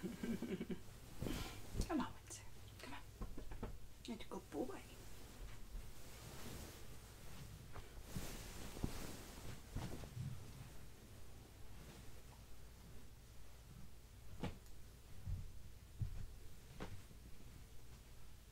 Come on, Windsor. Come on. You're a good boy.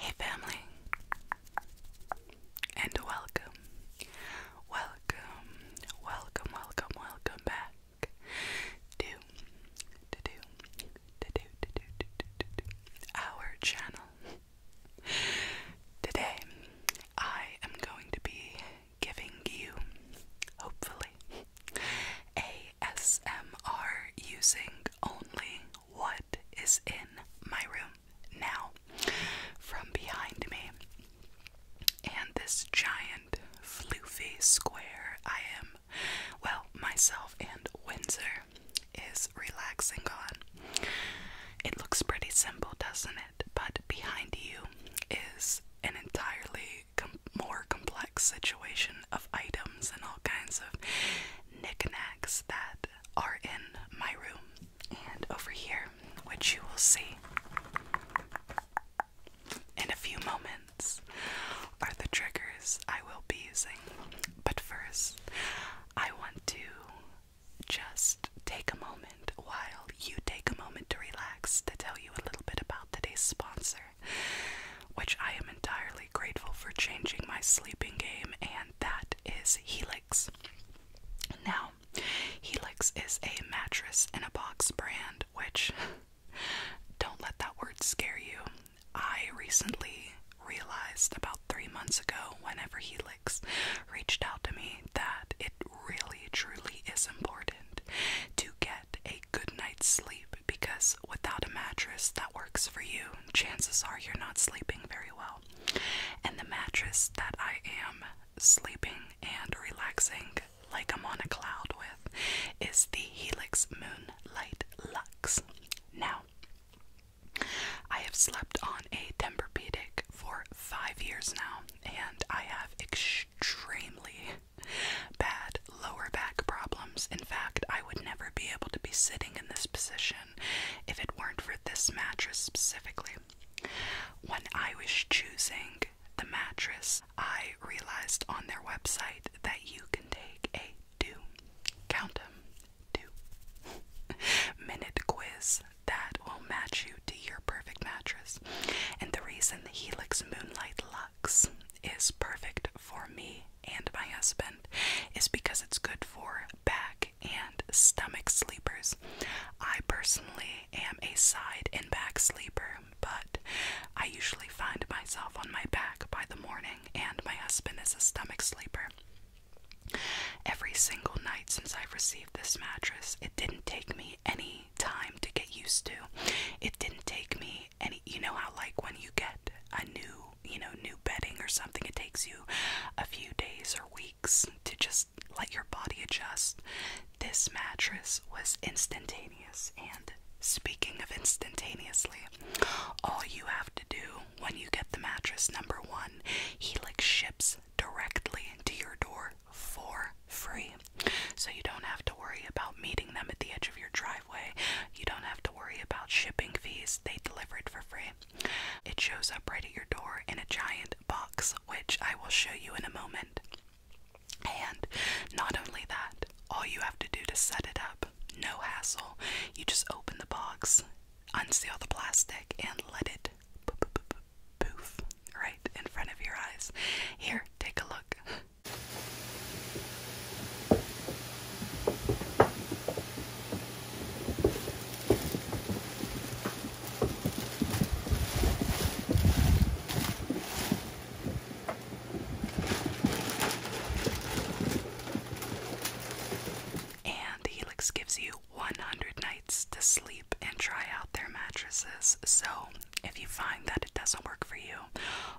Hey, family, and welcome, welcome, welcome, welcome, welcome back to to do to do to to to our channel. Today, I am going to be giving you, hopefully, ASMR using only what is in my room now from behind me. And this giant floofy square I am, well, myself and Windsor is relaxing on. It looks pretty simple, doesn't it? But behind you is an entirely more complex situation of items and all kinds of knickknacks that are in my room. And over here, which you will see in a few moments, are the triggers I will be using. But first, I want to just take a moment while you take a moment to relax to tell you a little bit about today's sponsor, which I am entirely grateful for changing my sleeping game, and that is Helix. Now, Helix is a mattress in a box brand, which don't let that word scare you. I recently realized about three months ago, whenever Helix reached out to me, that it really truly is important to get a good night's sleep because without a mattress that works for you, chances are you're not sleeping very well. And the mattress that I am sleeping and relaxing like I'm on a cloud with is the Helix Moonlight Lux. Now, I have slept on a Tempur-Pedic for five years now, and I have extremely bad lower back problems. In fact, I would never be able to be sitting in this position if it weren't for this mattress specifically. When I was choosing the mattress, I realized on their website that you can take a do count them two minute quiz that will match you to your perfect mattress. And the reason the Helix Moonlight Luxe is perfect for me and my husband is because it's good for back and stomach sleepers. I personally am a side and back sleeper, but I usually find myself on my back by the morning, and my husband is a stomach sleeper. Every single night since I've received this mattress, it didn't take me any time to get used to. It didn't take me any, you know, how like when you get a new, you know, new bedding or something, it takes you a few days or weeks to just let your body adjust. This mattress was instantaneous, and speaking of instantaneously, all you have to do when you get the mattress, number one, Helix ships directly into your door for free. So you don't have to worry about meeting them at the edge of your driveway. You don't have to worry about shipping fees. They deliver it for free. It shows up right at your door in a giant box, which I will show you in a moment. And not only that, all you have to do to set it up up. No hassle. You just open the box, unseal the plastic, and let it poof right in front of your eyes. Here, take a look. And Helix gives you 100 nights to sleep and try out their mattresses. So, if you find that it doesn't work for you,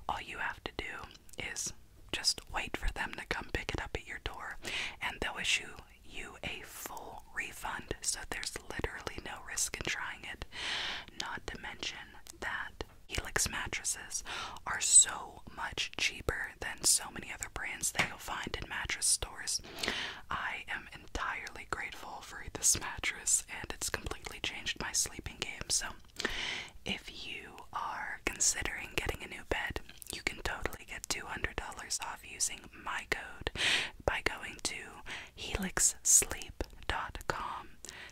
all you have to do is just wait for them to come pick it up at your door and they'll issue you a full refund. So, there's literally no risk in trying it. Not to mention that Helix mattresses are so much cheaper than so many other brands that you'll find in mattress stores. I am entirely grateful for this mattress and it's completely changed my sleeping game. So, if you are considering getting a new bed, you can totally get $200 off using my code by going to helixsleep.com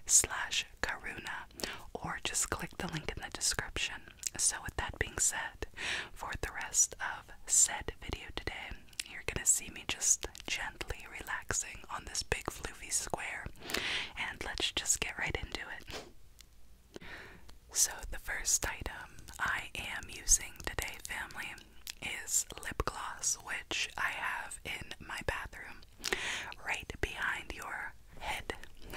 slash karuna or just click the link in the description. So, with that being said, for the rest of said video today, you're gonna see me just gently relaxing on this big floofy square, and let's just get right into it. So, the first item I am using today, family, is lip gloss, which I have in my bathroom right behind your head.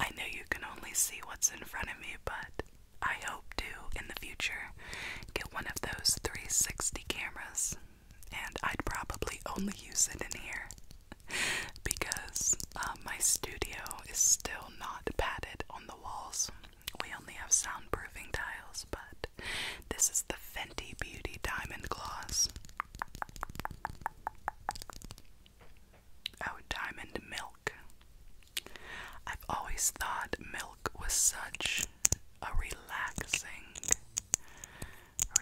I know you can only see what's in front of me, but I hope to, in the future, get one of those 360 cameras, and I'd probably only use it in here because uh, my studio is still not padded on the walls. We only have soundproofing tiles, but this is the Fenty Beauty Diamond Gloss. Oh, Diamond Milk. I've always thought milk was such a relaxing,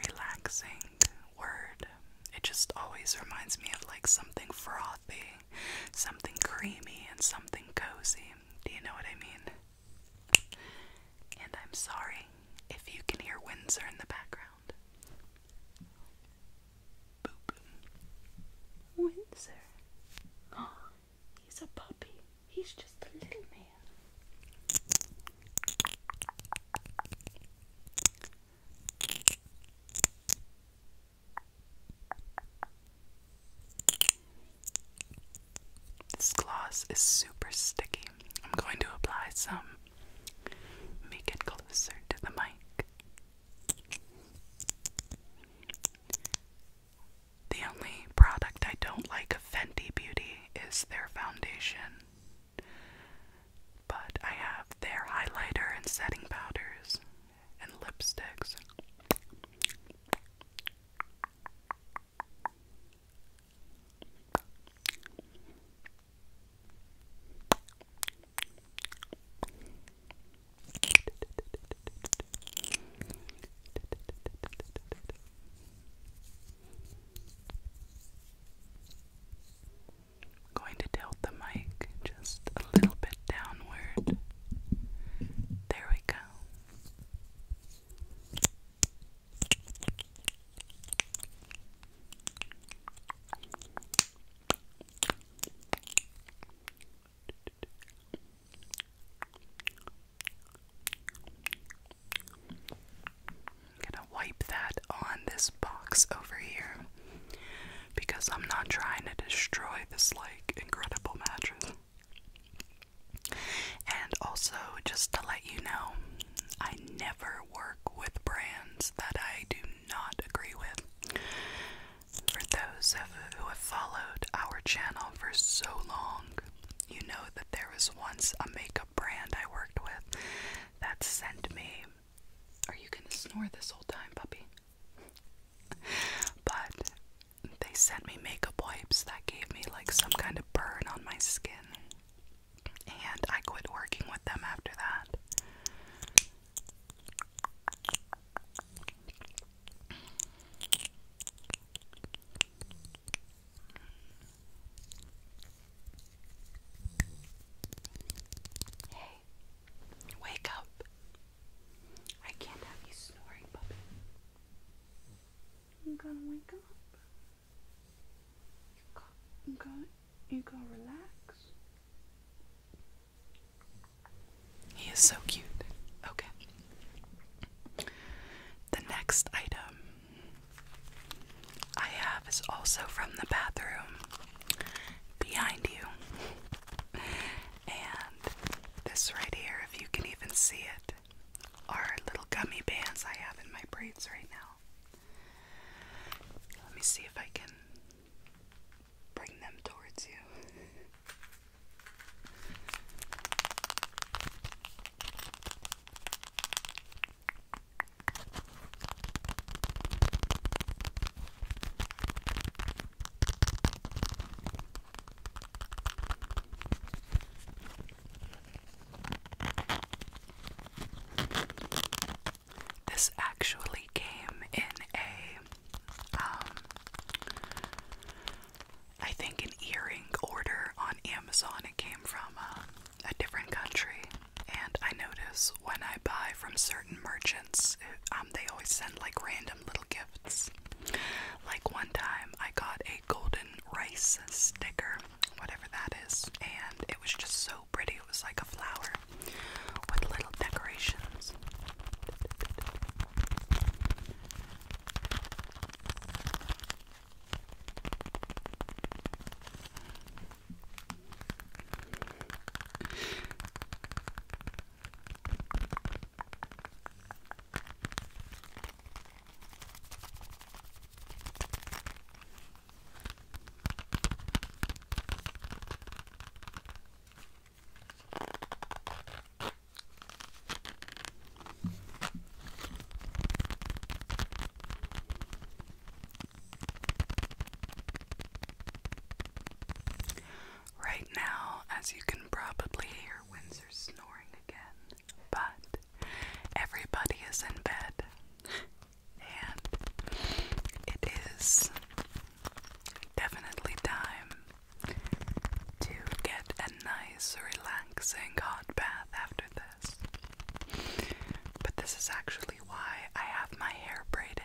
relaxing word. It just always reminds me of like something frothy, something creamy, and something cozy. Do you know what I mean? And I'm sorry if you can hear Windsor in the background. Boop. Windsor. he's a puppy. He's just a little man. This gloss is super sticky. I'm going to apply some. Make it closer to the mic. The only product I don't like of Fenty Beauty is their foundation, but I have their highlighter and setting powders and lipsticks. I'm going to tilt the mic just a little bit downward. There we go. I'm gonna wipe that on this box over here because I'm not trying to destroy this like incredible mattress. And also, just to let you know, I never work with brands that I do not agree with. For those of who have followed our channel for so long, you know that there was once a makeup brand I worked with that sent me. Are you gonna snore this whole time, puppy? But they sent me makeup wipes that gave me like some kind of burn on my skin and I quit working with them after that. Hey, wake up. I can't have you snoring, puppy. You gotta wake up. You got, you got, you relax. He is so cute. Okay. The next item I have is also from the bathroom behind you. And this right here, if you can even see it, are little gummy bands I have in my braids right now. Let me see if I can bring them towards you. This actually came in a, um, I think an earring order on Amazon. It came from uh, a different country, and I notice when I buy from certain merchants, um, they always send like random little gifts. Like one time, I got a golden rice sticker whatever that is, and it was just so pretty. It was like a flower with little decorations. Right now, as you can probably hear Windsor snoring again, but Everybody is in bed, and it is definitely time to get a nice, relaxing hot bath after this. But this is actually why I have my hair braided.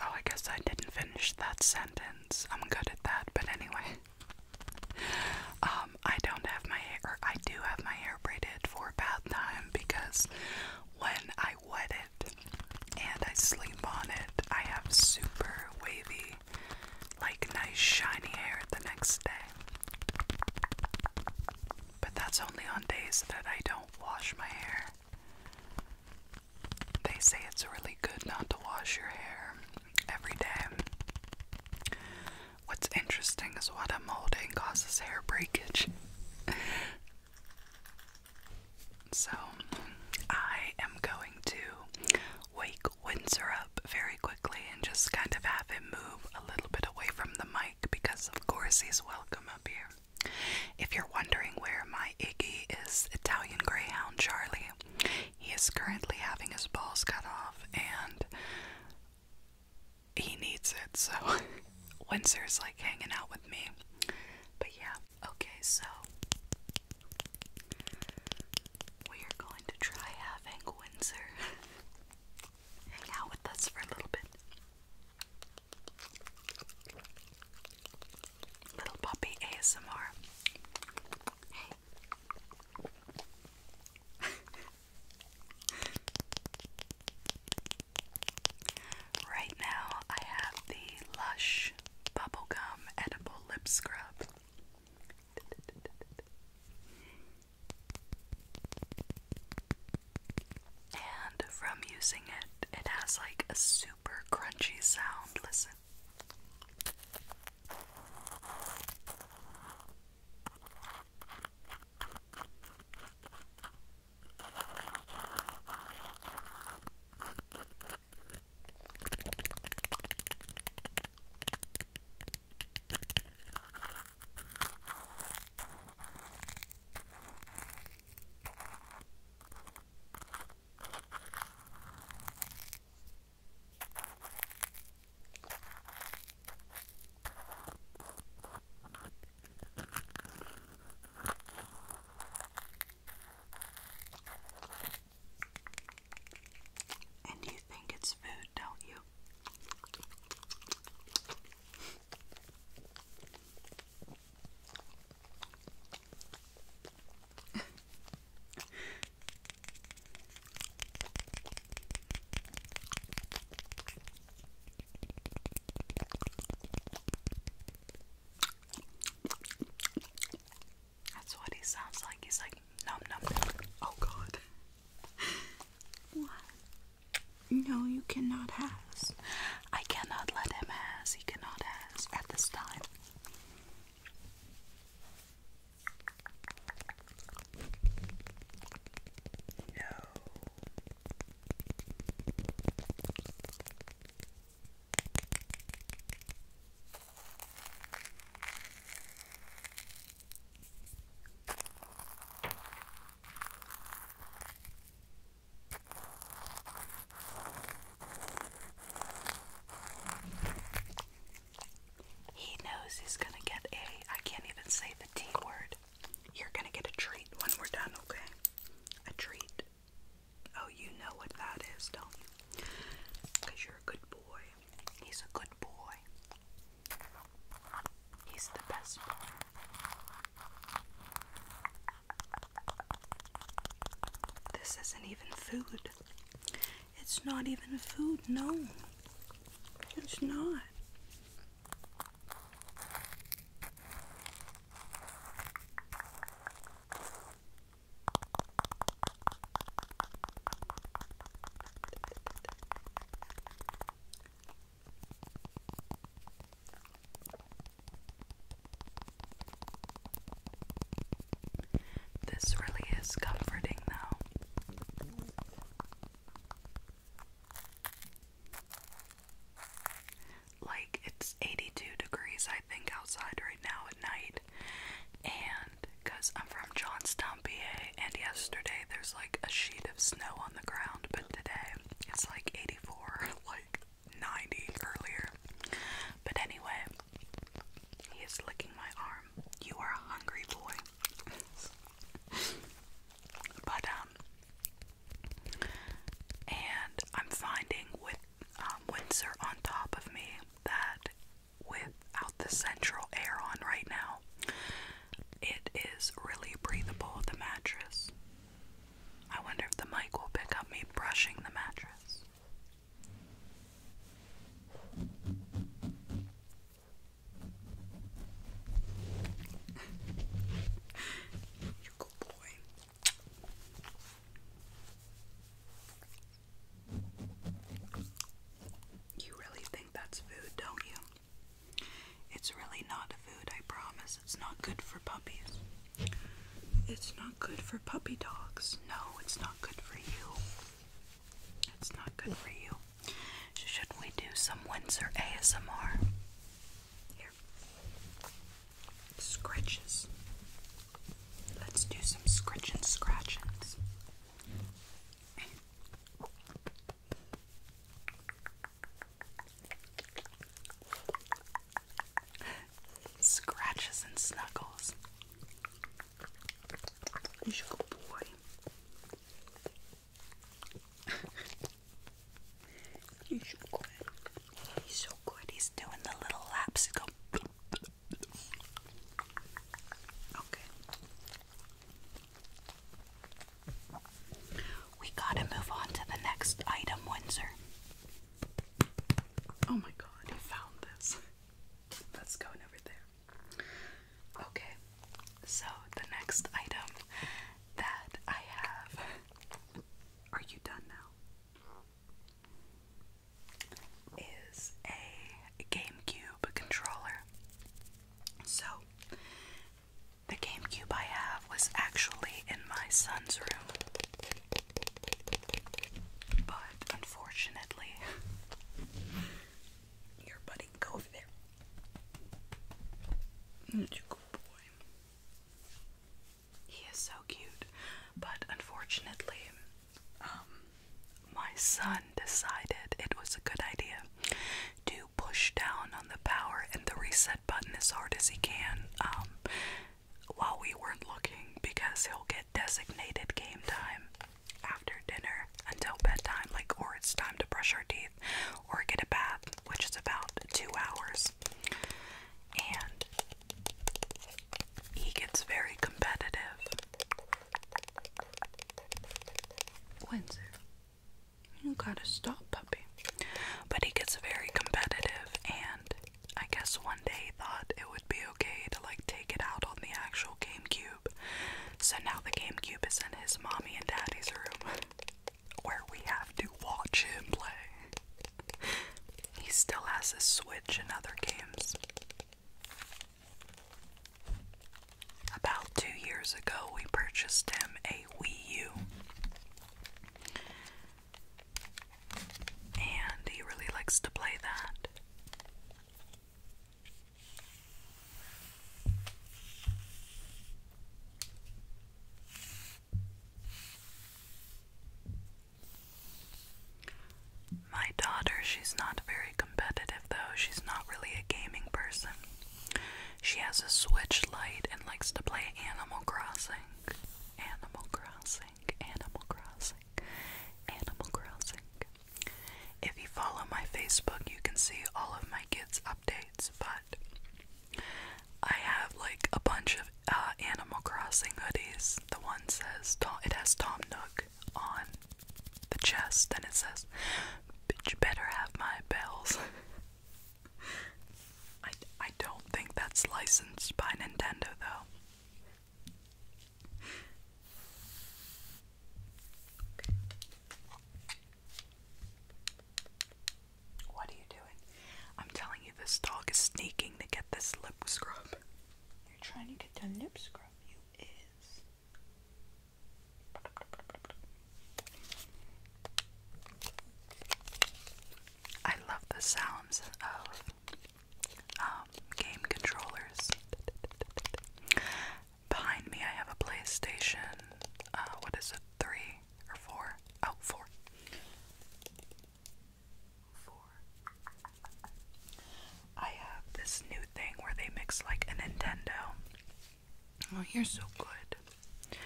Oh, I guess I didn't finish that sentence. I'm good at that, but anyway. Um, I don't have my hair, I do have my hair braided for bath time because when I wet it and I sleep on it, I have super wavy, like nice shiny hair the next day. But that's only on days that I don't wash my hair. They say it's really good not to wash your hair every day. What's interesting is what I'm holding causes hair breakage. so, I am going to wake Windsor up very quickly and just kind of have him move a little bit away from the mic because, of course, he's welcome up here. If you're wondering where my Iggy is, Italian Greyhound Charlie, he is currently having his balls cut off and he needs it, so Windsor's like hanging out with me. But yeah, okay, so we are going to try having Windsor hang out with us for a little bit. Little puppy ASMR. right now, I have the Lush Bubblegum Edible Lip Scrub. And from using it, it has like a super crunchy sound. Listen. And you think it's food, don't you? That's what he sounds like. He's like, nom nom. nom. Oh, God. what? No, you cannot have. I cannot let him have. He cannot have at this time. No. He knows he's gonna get a, I can't even say the T word. You're gonna get a treat when we're done, okay? A treat. Oh, you know what that is, don't you? Because you're a good boy. He's a good boy. He's the best one. This isn't even food. It's not even food, no. It's not. This really is comforting, though. Like, it's 82 degrees, I think, outside right now at night. And because I'm from Johnstown, PA, and yesterday there's like a sheet of snow the ground, but today it's like 84, like 90 earlier. But anyway, he is licking my arm. You are a hungry boy. but, um, and I'm finding with um, Windsor on top of me that without the central air on right now, it is really breathable, the mattress. I wonder if the mic will pick up me brushing the mattress. you good boy. You really think that's food, don't you? It's really not a food, I promise. It's not good for puppies. It's not good for puppy dogs. No, it's not good for you. It's not good for you. Should we do some Windsor ASMR? Here. Scratches. Let's do some scratch and scratchings. Scratches and snuggles. You should go, boy. you should so good. He's doing the little laps. Okay. We gotta move on to the next item, Windsor. Oh my god, you found this. That's going over there. Okay, so the next item that I have. Are you done now? Is a GameCube controller. So, the GameCube I have was actually in my son's room, but unfortunately, your buddy go over there. good boy. He is so cute, but unfortunately, um, my son decided it was a good idea to push down on the power and the reset button as hard as he can um, while we weren't looking because he'll get designated game time after dinner until bedtime, like, or it's time to brush our teeth or get a bath, which is about two hours. And he gets very competitive wins it. You gotta stop, puppy. But he gets very competitive, and I guess one day he thought it would be okay to like take it out on the actual GameCube. So now the GameCube is in his mommy and daddy's room, where we have to watch him play. He still has his Switch and other games. About two years ago, we purchased him a Wii U. And he really likes to play that. My daughter, she's not very competitive though. She's not really a gaming person. She has a Switch Lite and likes to play Animal Crossing. Animal Crossing, Animal Crossing, Animal Crossing. If you follow my Facebook, you can see all of my kids' updates, but I have like a bunch of uh, Animal Crossing hoodies. The one says Tom, it has Tom Nook on the chest and it says, Bitch, you better have my bells. I, I don't think that's licensed by Nintendo though. What are you doing? I'm telling you, this dog is sneaking to get this lip scrub. You're trying to get the lip scrub, you is. I love the sounds of um, game controllers. Behind me, I have a PlayStation. Uh, what is it? Three or four? Oh, four. Four. I have this new thing where they mix like a Nintendo. Oh, you're so good.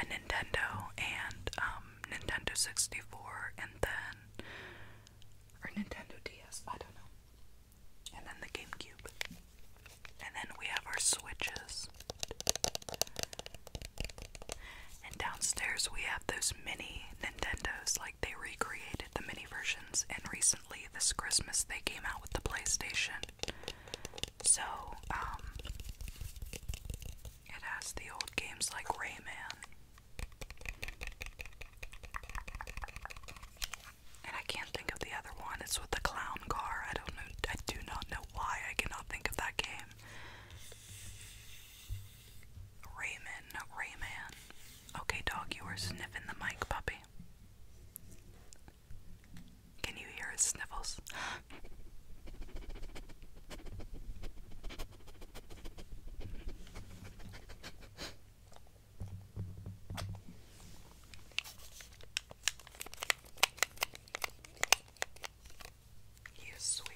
A Nintendo and um, Nintendo 64, and then or Nintendo DS. I don't know. And then the GameCube. And then we have our switches. And downstairs we have those mini Nintendos, like they recreated the mini versions in recent this Christmas, they came out with the PlayStation. So, um, it has the old games like Rayman. And I can't think of the other one. It's with the clown car. I don't I do not know why I cannot think of that game. Rayman, Rayman. Okay, dog, you are sniffing the mic, puppy. Can you hear his sniffles? he is sweet.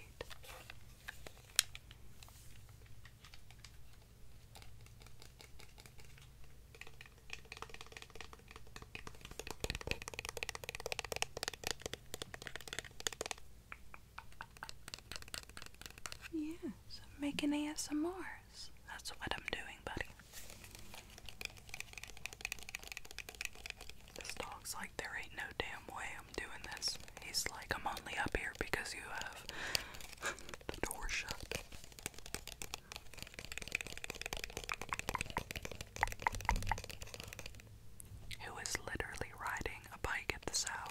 Yes, I'm making ASMRs. That's what I'm doing, buddy. This dog's like, there ain't no damn way I'm doing this. He's like, I'm only up here because you have the door shut. Who is literally riding a bike at this hour?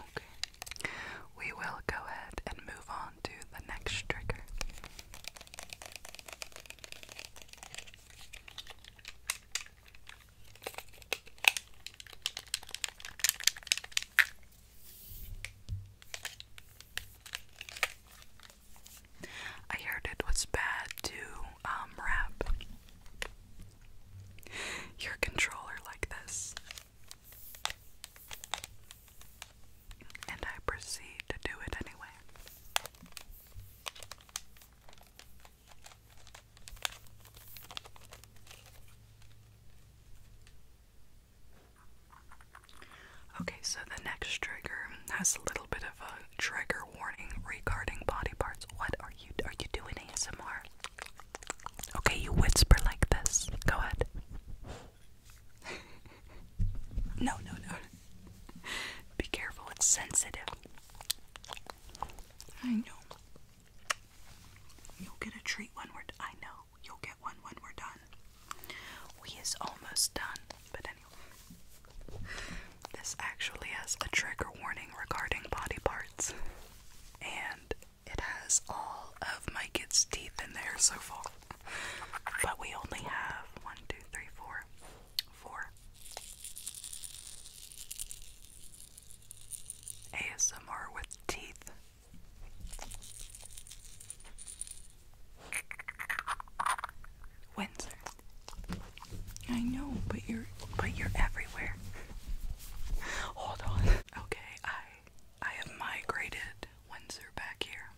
Okay. We will go ahead and move on to the next trigger. I heard it was bad to wrap um, your controller like this. And I proceed to do it anyway. Okay, so the next trigger has a little bit of a trigger warning regarding body parts. What are you are you doing ASMR? Okay, you whisper like this. Go ahead. no, no, no. Be careful, it's sensitive. I know. You'll get a treat when we're. D I know you'll get one when we're done. We is almost done, but anyway, this actually has a trigger warning regarding body parts, and it has all of my kids' teeth in there so far. But we only have one, two, three, four, four. ASMR with teeth. Windsor. I know, but you're but you're everywhere. Hold on. Okay, I I have migrated Windsor back here.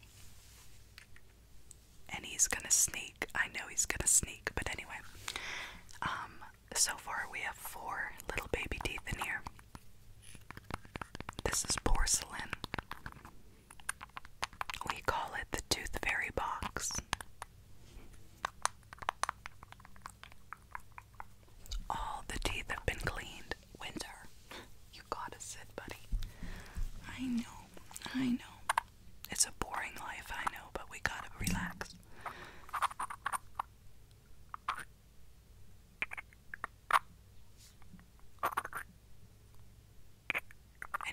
And he's gonna sneak. I know he's gonna sneak, but anyway. Um, so far, we have four little baby teeth in here. This is porcelain. We call it the Tooth Fairy Box. All the teeth have been cleaned. Winter, you gotta sit, buddy. I know, I know. It's a boring life, I know, but we gotta relax. And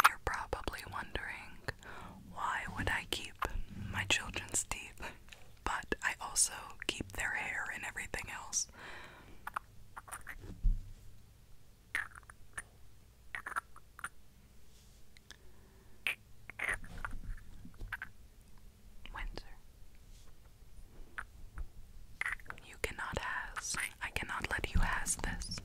you're probably wondering why would I keep my children's teeth, but I also keep their hair and everything else. Windsor. You cannot has. I cannot let you has this.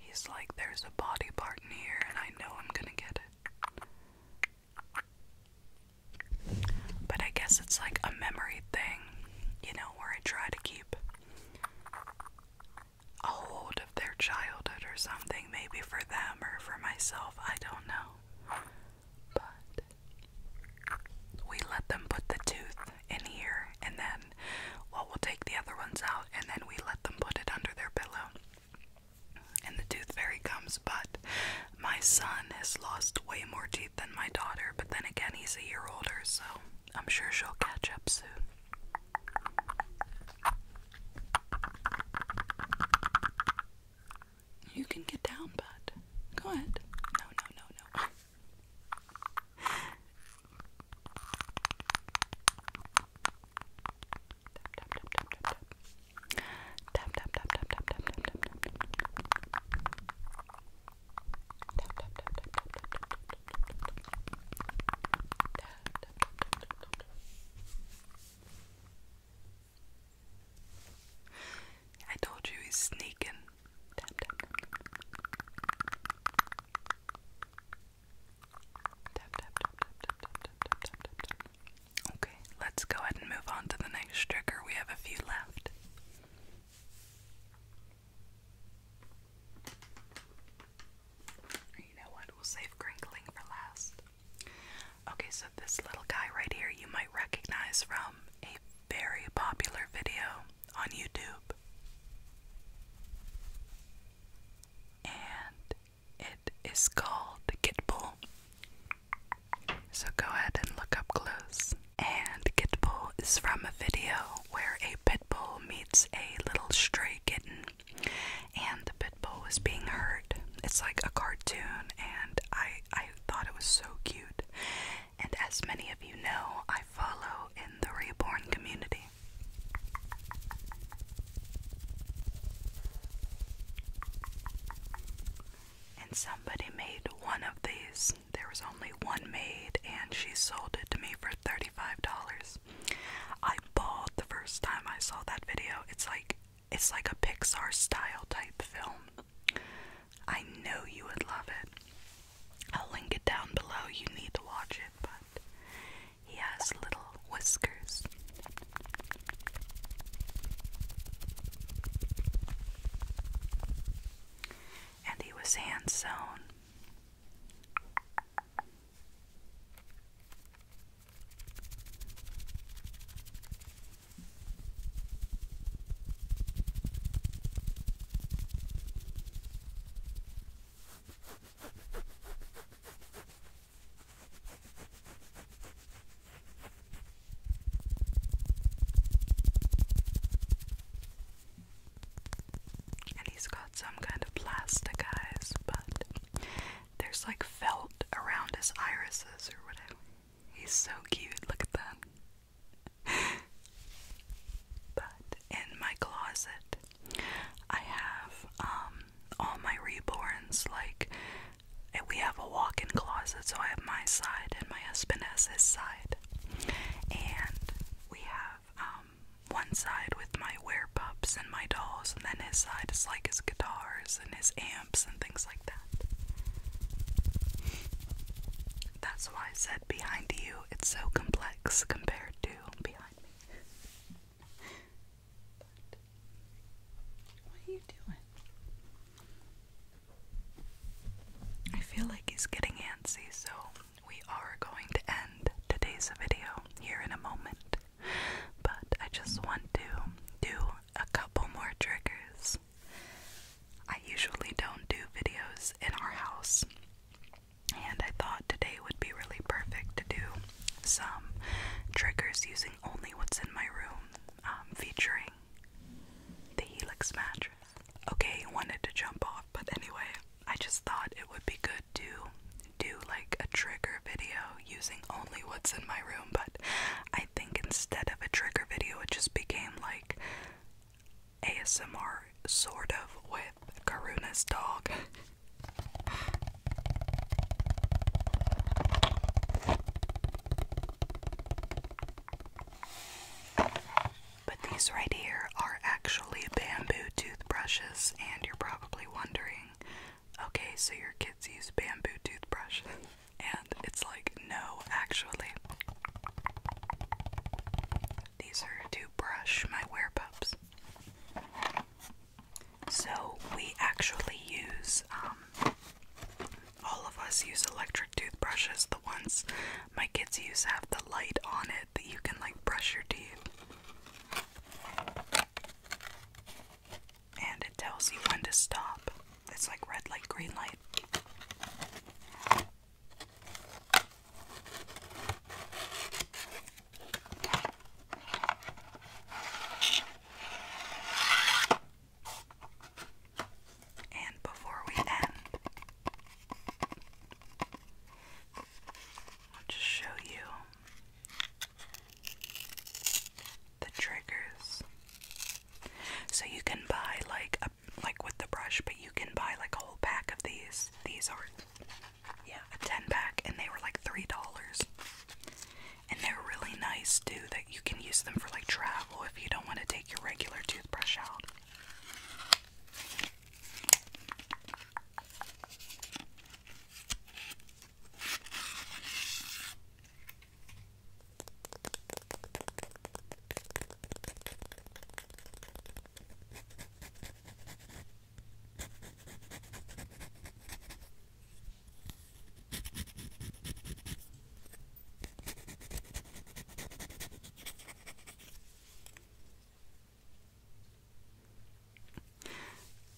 He's like, there's a body part in here, and I know I'm gonna get it. But I guess it's like a memory thing, you know, where I try to keep a hold of their childhood or something, maybe for them or for myself, I don't know. But we let them put the tooth in here and then, well, we'll take the other ones out and then we let them put it under their pillow. And the tooth fairy comes, but my son has lost way more teeth than my daughter, but then again, he's a year older, so I'm sure she'll catch up soon. You can get down, bud. Go ahead. No, no, no, no. I told you he's sneaking. Okay, let's go ahead and move on to the next trigger. We have a few left. You know what? We'll save crinkling for last. Okay, so this little guy right here you might recognize from a very popular video on YouTube. And it is called Gitbull. So go ahead and look up close. And Kit Bull is from a video where a pitbull meets a little stray kitten, and the pitbull bull was being hurt. It's like a cartoon, and I I thought it was so cute. And as many of you know, I follow in the reborn community. And somebody made one of these there was only one maid, and she sold it to me for $35. I bawled the first time I saw that video. It's like it's like a Pixar style type film. I know you would love it. I'll link it down below. You need to watch it, but he has little whiskers. And he was hand sewn. And he's got some kind of plastic eyes, but there's like felt around his irises or whatever. He's so cute, look at that. but in my closet, I have um all my reborns like and we have a walk in closet, so I have my side and my husband has his side. And we have um, one side with my wear pups and my dolls, and then his side is like his guitars and his amps and things like that. That's why I said behind you, it's so complex compared to behind me. what are you doing? I feel like he's getting antsy, so we are going to end today's video here in a moment. But I just want to do a couple more triggers. I usually don't do videos in our house, and I thought today would be really perfect to do some triggers using only what's in my room. Um, featuring the Helix mattress. Okay, wanted to jump off, but anyway, I just thought it would be good to do like a trigger video using only what's in my room, but I think instead of a trigger video, it just became like ASMR sort of with Karuna's dog. But these right here are actually bamboo toothbrushes, and you're probably wondering okay, so your kids use bamboo toothbrushes? And it's like, no, actually. These are to brush my wear pups. So we actually use um, all of us use electric toothbrushes. The ones my kids use have the light on it that you can like brush your teeth. And it tells you when to stop. It's like red light, green light. And before we end, I'll just show you the triggers. So you can buy like like with the brush, but you can buy like a whole pack of these. These are yeah, a 10 pack and they were like $3 and they're really nice too that you can use them for like travel if you don't want to take your regular toothbrush out.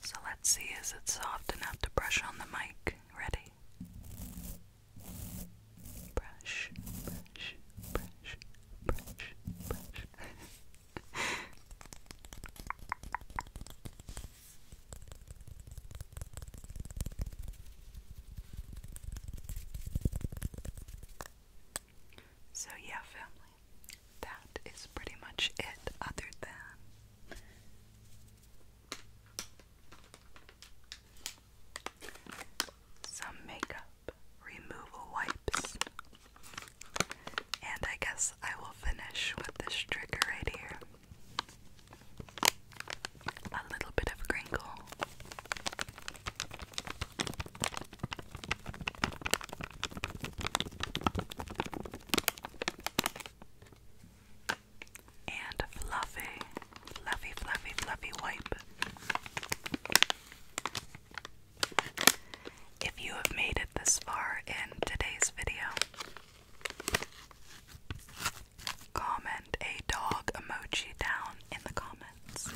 So let's see, is it soft enough to brush on the mic? Ready? Brush, brush, brush, brush, brush. So, yeah, family, that is pretty much it, other than some makeup removal wipes. And I guess I will finish with this trigger right here a little bit of crinkle. And fluffy, fluffy, fluffy, fluffy wipe. If you have made it this far in today's video, Comment a dog emoji down in the comments.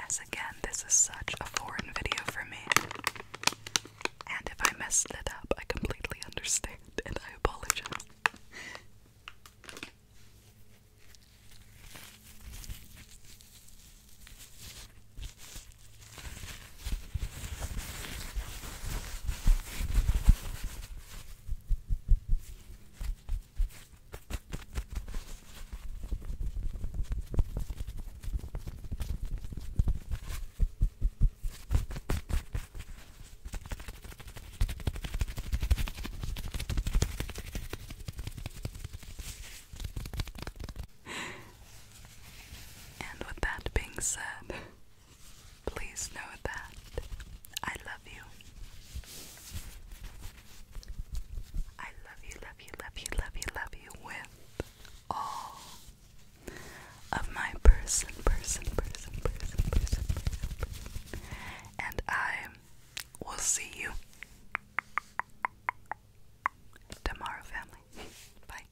As again, this is such a foreign video for me. And if I messed it up, I completely understand and I apologize. And with that being said, Please know that I love you. I love you, love you, love you, love you, love you with all of my person, person, person, person, person, and I will see you tomorrow, family. Bye.